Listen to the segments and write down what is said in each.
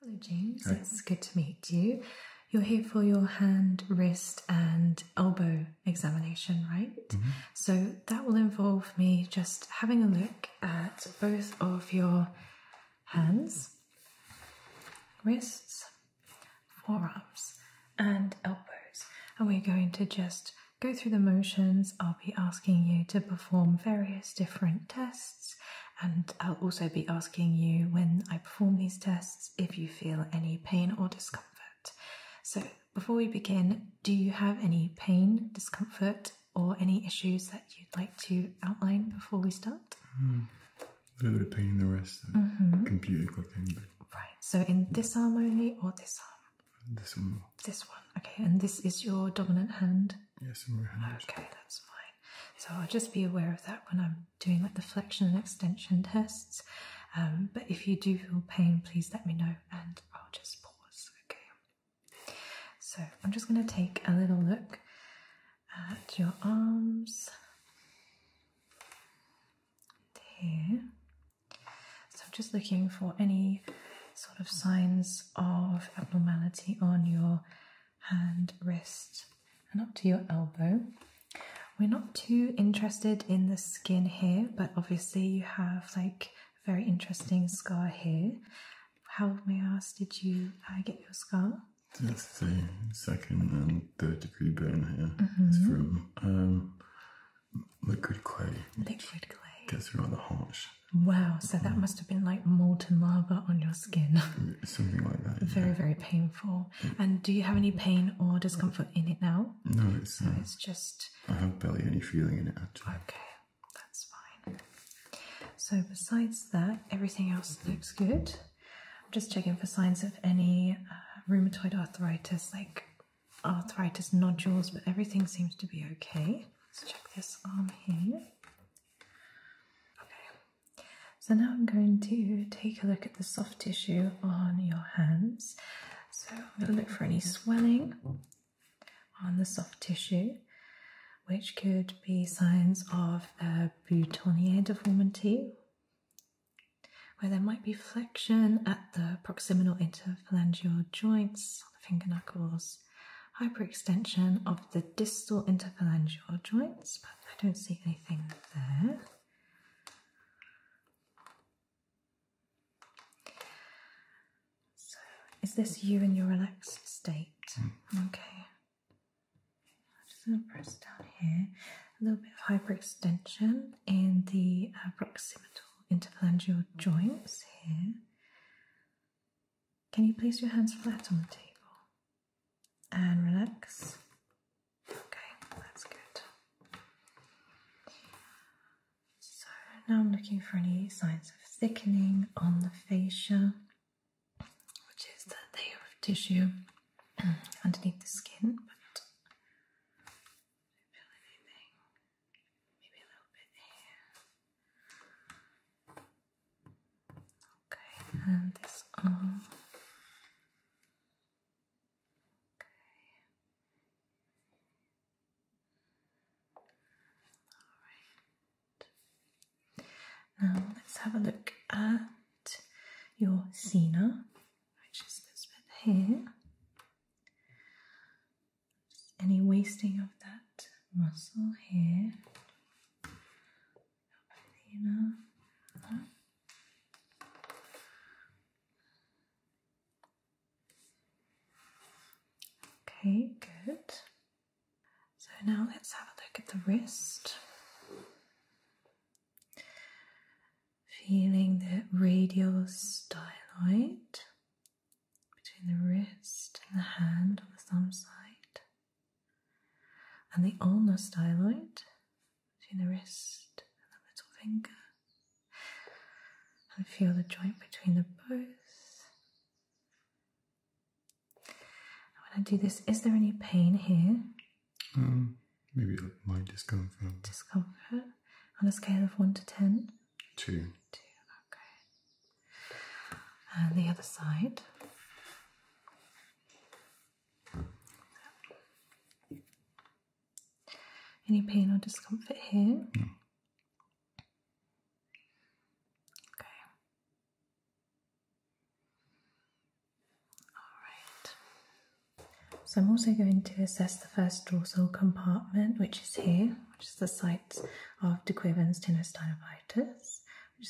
Hello, James. It's good to meet you. You're here for your hand, wrist, and elbow examination, right? Mm-hmm. So that will involve me just having a look at both of your hands, wrists, forearms, and elbows. And we're going to just go through the motions. I'll be asking you to perform various different tests and I'll also be asking you when I perform these tests if you feel any pain or discomfort. So, before we begin, do you have any pain, discomfort, or any issues that you'd like to outline before we start? Hmm. A little bit of pain in the wrist, mm -hmm. completely cooking. Right, so in this arm only or this arm? This one. This one, okay, and this is your dominant hand? Yes, Okay, that's fine. So I'll just be aware of that when I'm doing like the flexion and extension tests. Um, but if you do feel pain, please let me know and I'll just pause. Okay. So I'm just going to take a little look at your arms here. So I'm just looking for any sort of signs of abnormality on your hand, wrist, and up to your elbow. We're not too interested in the skin here, but obviously you have like very interesting scar here. How, may I ask, did you uh, get your scar? Just a second and third degree burn here. Mm-hmm. It's from um, liquid clay. Liquid clay. Gets the harsh. Wow, so that must have been like molten lava on your skin. Something like that. Very, very painful. And do you have any pain or discomfort in it now? No, uh, it's just. I have barely any feeling in it actually. Okay, that's fine. So besides that, everything else looks good. I'm just checking for signs of any uh, rheumatoid arthritis, like arthritis nodules, but everything seems to be okay. Let's check this arm here. Okay, so now I'm going to take a look at the soft tissue on your hands. So I'm going to look for any swelling on the soft tissue, which could be signs of a boutonniere deformity, where there might be flexion at the proximal interphalangeal joints, the finger knuckles, hyperextension of the distal interphalangeal joints, but I don't see anything there. So, is this you in your relaxed state? Hmm. Okay. I'm just going to press down here. A little bit of hyperextension in the uh, proximal interphalangeal joints here. Can you place your hands flat on the table and relax? Okay, that's good. So now I'm looking for any signs of thickening on the fascia, which is the layer of tissue underneath the skin. But I feel anything. Maybe a little bit here. Okay, and this arm. Okay. Alright. Now let's have a look at your cena. which is this bit here. any wasting of that muscle here. Okay, good. So now let's have a look at the wrist. Feeling the radial styloid between the wrist and the hand on the thumb side, and the ulnar styloid between the wrist and the middle finger. And feel the joint between the both. when I do this, is there any pain here? Um, maybe light discomfort. Discomfort on a scale of one to ten. Two. Two. Okay and the other side. Any pain or discomfort here? Okay. All right. So I'm also going to assess the first dorsal compartment, which is here, which is the site of de Quiven's tenosynovial which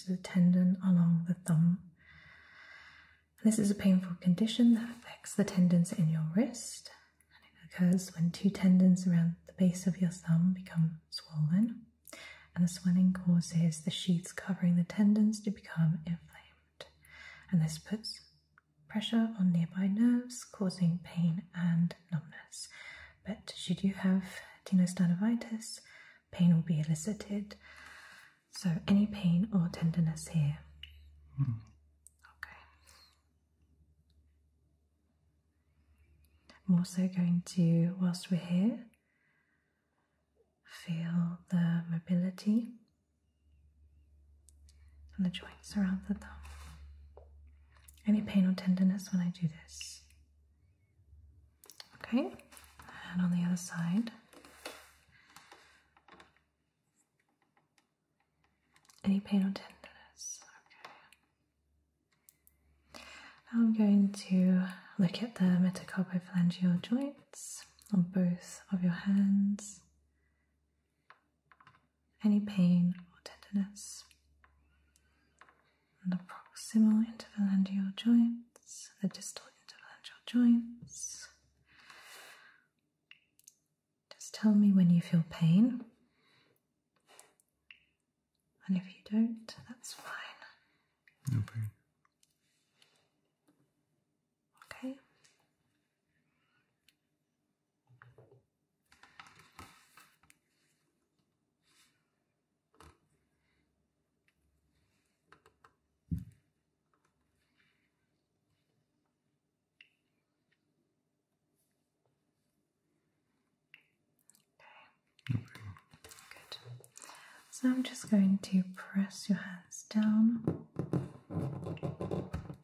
is a tendon along the thumb. This is a painful condition that affects the tendons in your wrist, and it occurs when two tendons around the base of your thumb become swollen, and the swelling causes the sheets covering the tendons to become inflamed. And this puts pressure on nearby nerves, causing pain and numbness. But should you have tenosynovitis, pain will be elicited. So any pain or tenderness here? Hmm. Okay. I'm also going to, whilst we're here, feel the mobility and the joints around the thumb. Any pain or tenderness when I do this? Okay, and on the other side. Any pain or tenderness? Okay. Now I'm going to look at the metacarpophalangeal joints on both of your hands. Any pain or tenderness? the proximal interphalangeal joints, the distal interphalangeal joints. Just tell me when you feel pain. And if you don't, that's fine. No pain. Okay. Okay. Good. So I'm just going to press your hands down.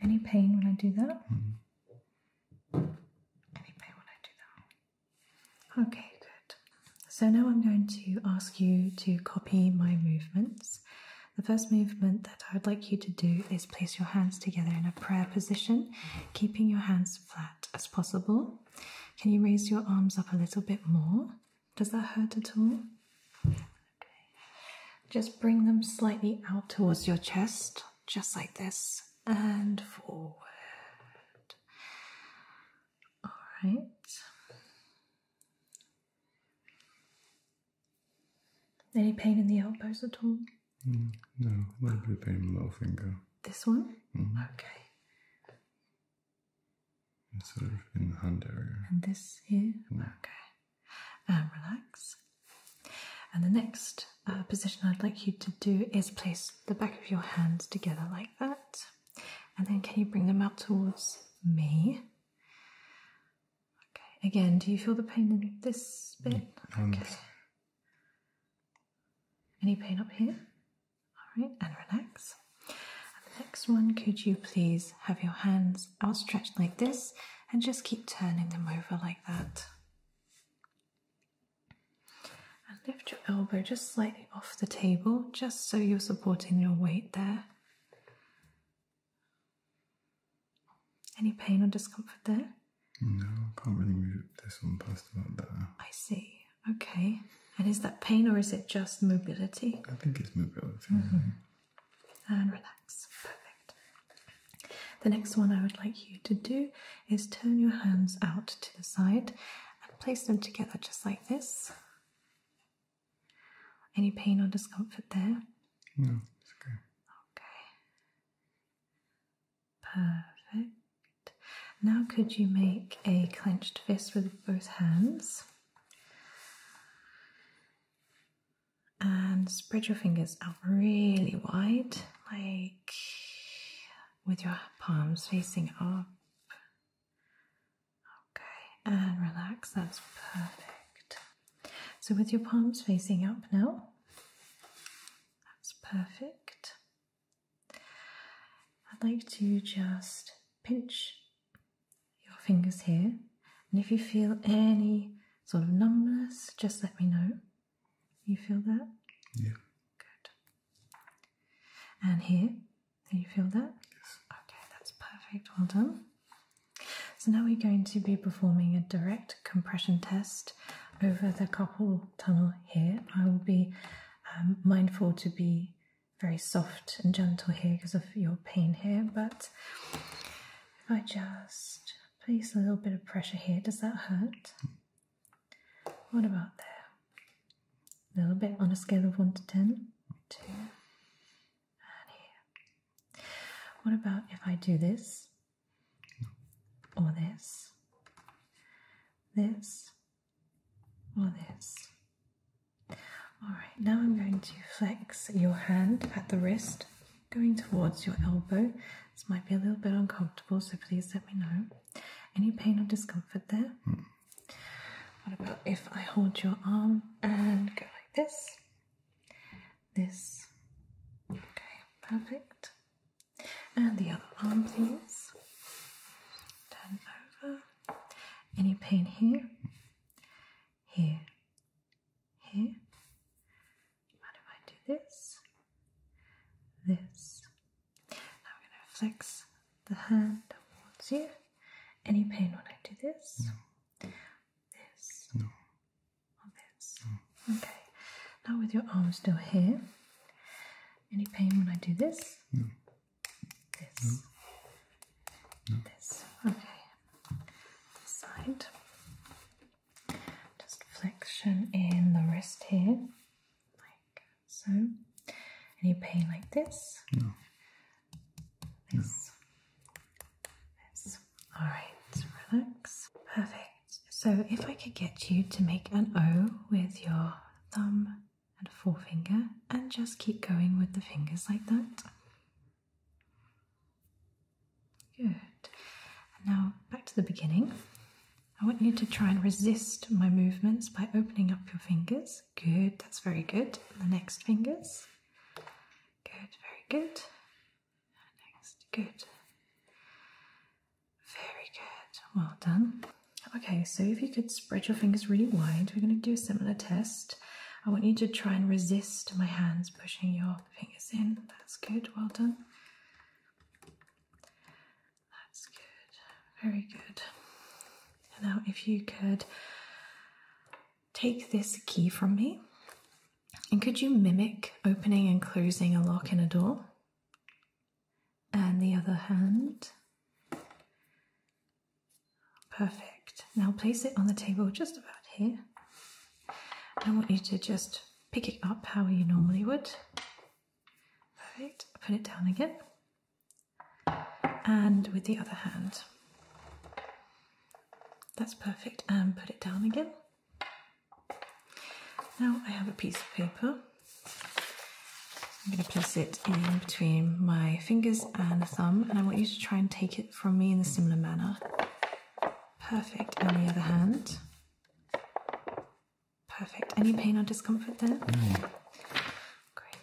Any pain when I do that? Mm-hmm. Okay, good. So now I'm going to ask you to copy my movements. The first movement that I would like you to do is place your hands together in a prayer position, keeping your hands flat as possible. Can you raise your arms up a little bit more? Does that hurt at all? Just bring them slightly out towards your chest just like this, and forward. All right. Any pain in the elbows at all? Mm, no, a little bit of pain in the little finger. This one? Mm-hmm. Okay. sort of in the hand area. And this here? Mm. Okay. And relax. And the next uh, position I'd like you to do is place the back of your hands together like that. And then can you bring them out towards me? Okay, again, do you feel the pain in this bit? Mm, okay. Any pain up here? All right, and relax. the next one, could you please have your hands outstretched like this and just keep turning them over like that? And lift your elbow just slightly off the table, just so you're supporting your weight there. Any pain or discomfort there? No, I can't really move this one past about there. I see. Okay. And is that pain or is it just mobility? I think it's mobility. Mm-hmm. And relax. Perfect. The next one I would like you to do is turn your hands out to the side and place them together just like this. Any pain or discomfort there? No, it's okay. Okay. Perfect. Now, could you make a clenched fist with both hands? And spread your fingers out really wide, like with your palms facing up. Okay, and relax, that's perfect. So, with your palms facing up now, that's perfect. I'd like to just pinch your fingers here, and if you feel any sort of numbness, just let me know. You feel that? Yeah. Good. And here, do you feel that? Yes. Okay, that's perfect. Well done. So now we're going to be performing a direct compression test over the carpal tunnel here. I will be um, mindful to be very soft and gentle here because of your pain here, but if I just Place a little bit of pressure here. Does that hurt? What about there? A little bit on a scale of 1 to 10. 2. And here. What about if I do this? Or this? This? Or this? Alright, now I'm going to flex your hand at the wrist going towards your elbow. This might be a little bit uncomfortable, so please let me know. Any pain or discomfort there? Hmm. What about if I hold your arm and go like this? This. Okay, perfect. And the other arm, please. Turn over. Any pain here? Here. Here. What if I do this? This. Now I'm going to flex the hand towards you. Any pain when I do this? No. This. No. this. No. Okay. Now with your arm still here. Any pain when I do this? No. This. This. Okay. side. Just flexion in the wrist here, like so. Any pain like this? No. This. No. All right, relax. Perfect. So, if I could get you to make an O with your thumb and forefinger and just keep going with the fingers like that. Good. now back to the beginning. I want you to try and resist my movements by opening up your fingers. Good, that's very good. the next fingers. Good, very good. Next, good. Very good. Well done. Okay, so if you could spread your fingers really wide, we're going to do a similar test. I want you to try and resist my hands pushing your fingers in. That's good, well done. That's good, very good. Now, if you could take this key from me, and could you mimic opening and closing a lock in a door? And the other hand. Perfect. Now place it on the table just about here. I want you to just pick it up how you normally would. Perfect. Put it down again. And with the other hand. That's perfect. And put it down again. Now I have a piece of paper. I'm going to place it in between my fingers and thumb, and I want you to try and take it from me in a similar manner. Perfect. On the other hand. Perfect. Any pain or discomfort there? Great.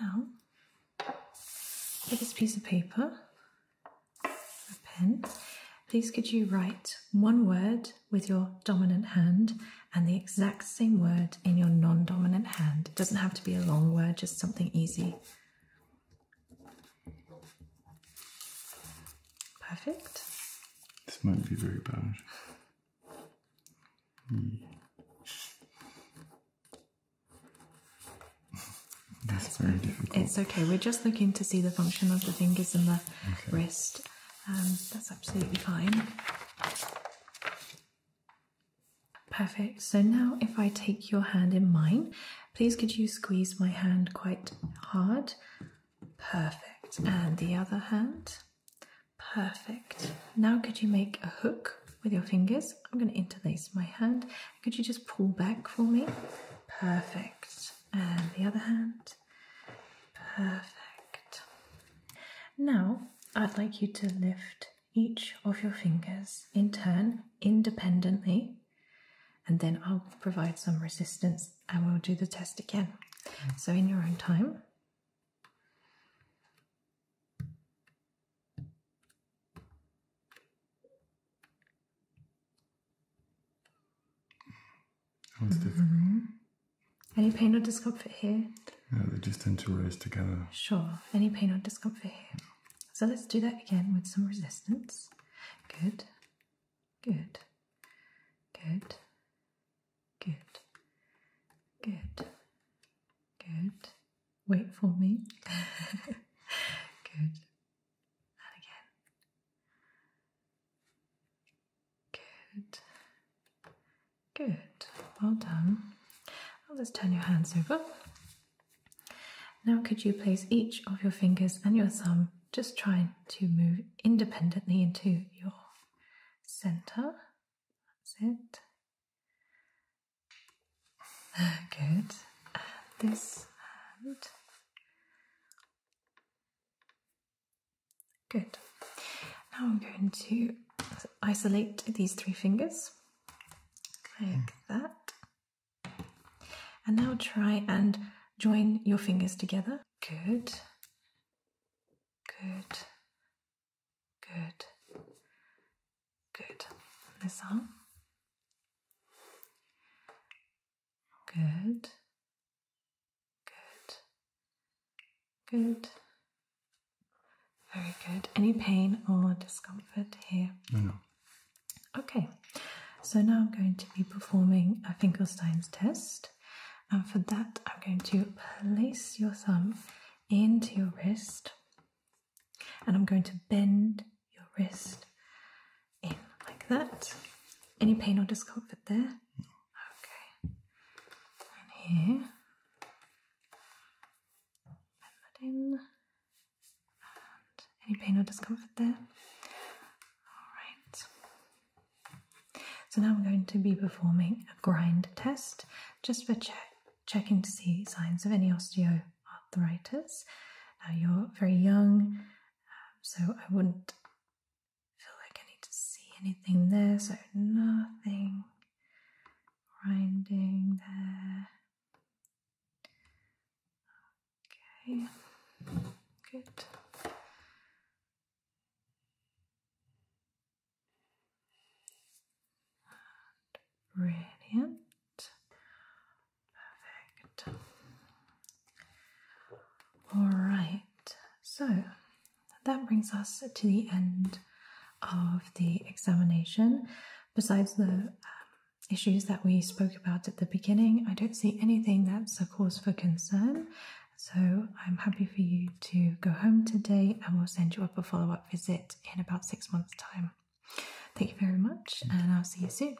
Now, with this piece of paper, a pen, please could you write one word with your dominant hand and the exact same word in your non dominant hand? It doesn't have to be a long word, just something easy. Perfect. This might be very bad. Hmm. That's, very difficult. It's okay. We're just looking to see the function of the fingers and the wrist. Um, that's absolutely fine. Perfect. So now if I take your hand in mine Please could you squeeze my hand quite hard? Perfect. And the other hand? Perfect. Now could you make a hook with your fingers? I'm going to interlace my hand. Could you just pull back for me? Perfect. And the other hand? Perfect. Now I'd like you to lift each of your fingers in turn independently and then I'll provide some resistance and we'll do the test again. So, in your own time. Mm-hmm. Any pain or discomfort here? No, they just tend to rise together. Sure. Any pain or discomfort here? So let's do that again with some resistance. Good, good, good, good, good, good. Wait for me. good. And again. Good. Good. Well done. I'll just turn your hands over. Now, could you place each of your fingers and your thumb just trying to move independently into your center? That's it. Good. And this hand. Good. Now I'm going to isolate these three fingers like hmm. that. And now try and join your fingers together. Good. Good. Good. Good. This arm. Good. Good. Good. Very good. Any pain or discomfort here? No, Okay, so now I'm going to be performing a Finkelstein's test, and for that, I'm going to place your thumb into your wrist, and I'm going to bend your wrist in like that. Any pain or discomfort there? Okay, here, bend in any pain or discomfort there? Alright. So now I'm going to be performing a grind test just for checking to see signs of any osteoarthritis. Now you're very young, um, so I wouldn't feel like I need to see anything there, so nothing grinding there. Okay, good. Radiant. Perfect. All right, so that brings us to the end of the examination. Besides the um, issues that we spoke about at the beginning, I don't see anything that's a cause for concern. So I'm happy for you to go home today and we'll send you up a follow up visit in about six months' time. Thank you very much, and I'll see you soon.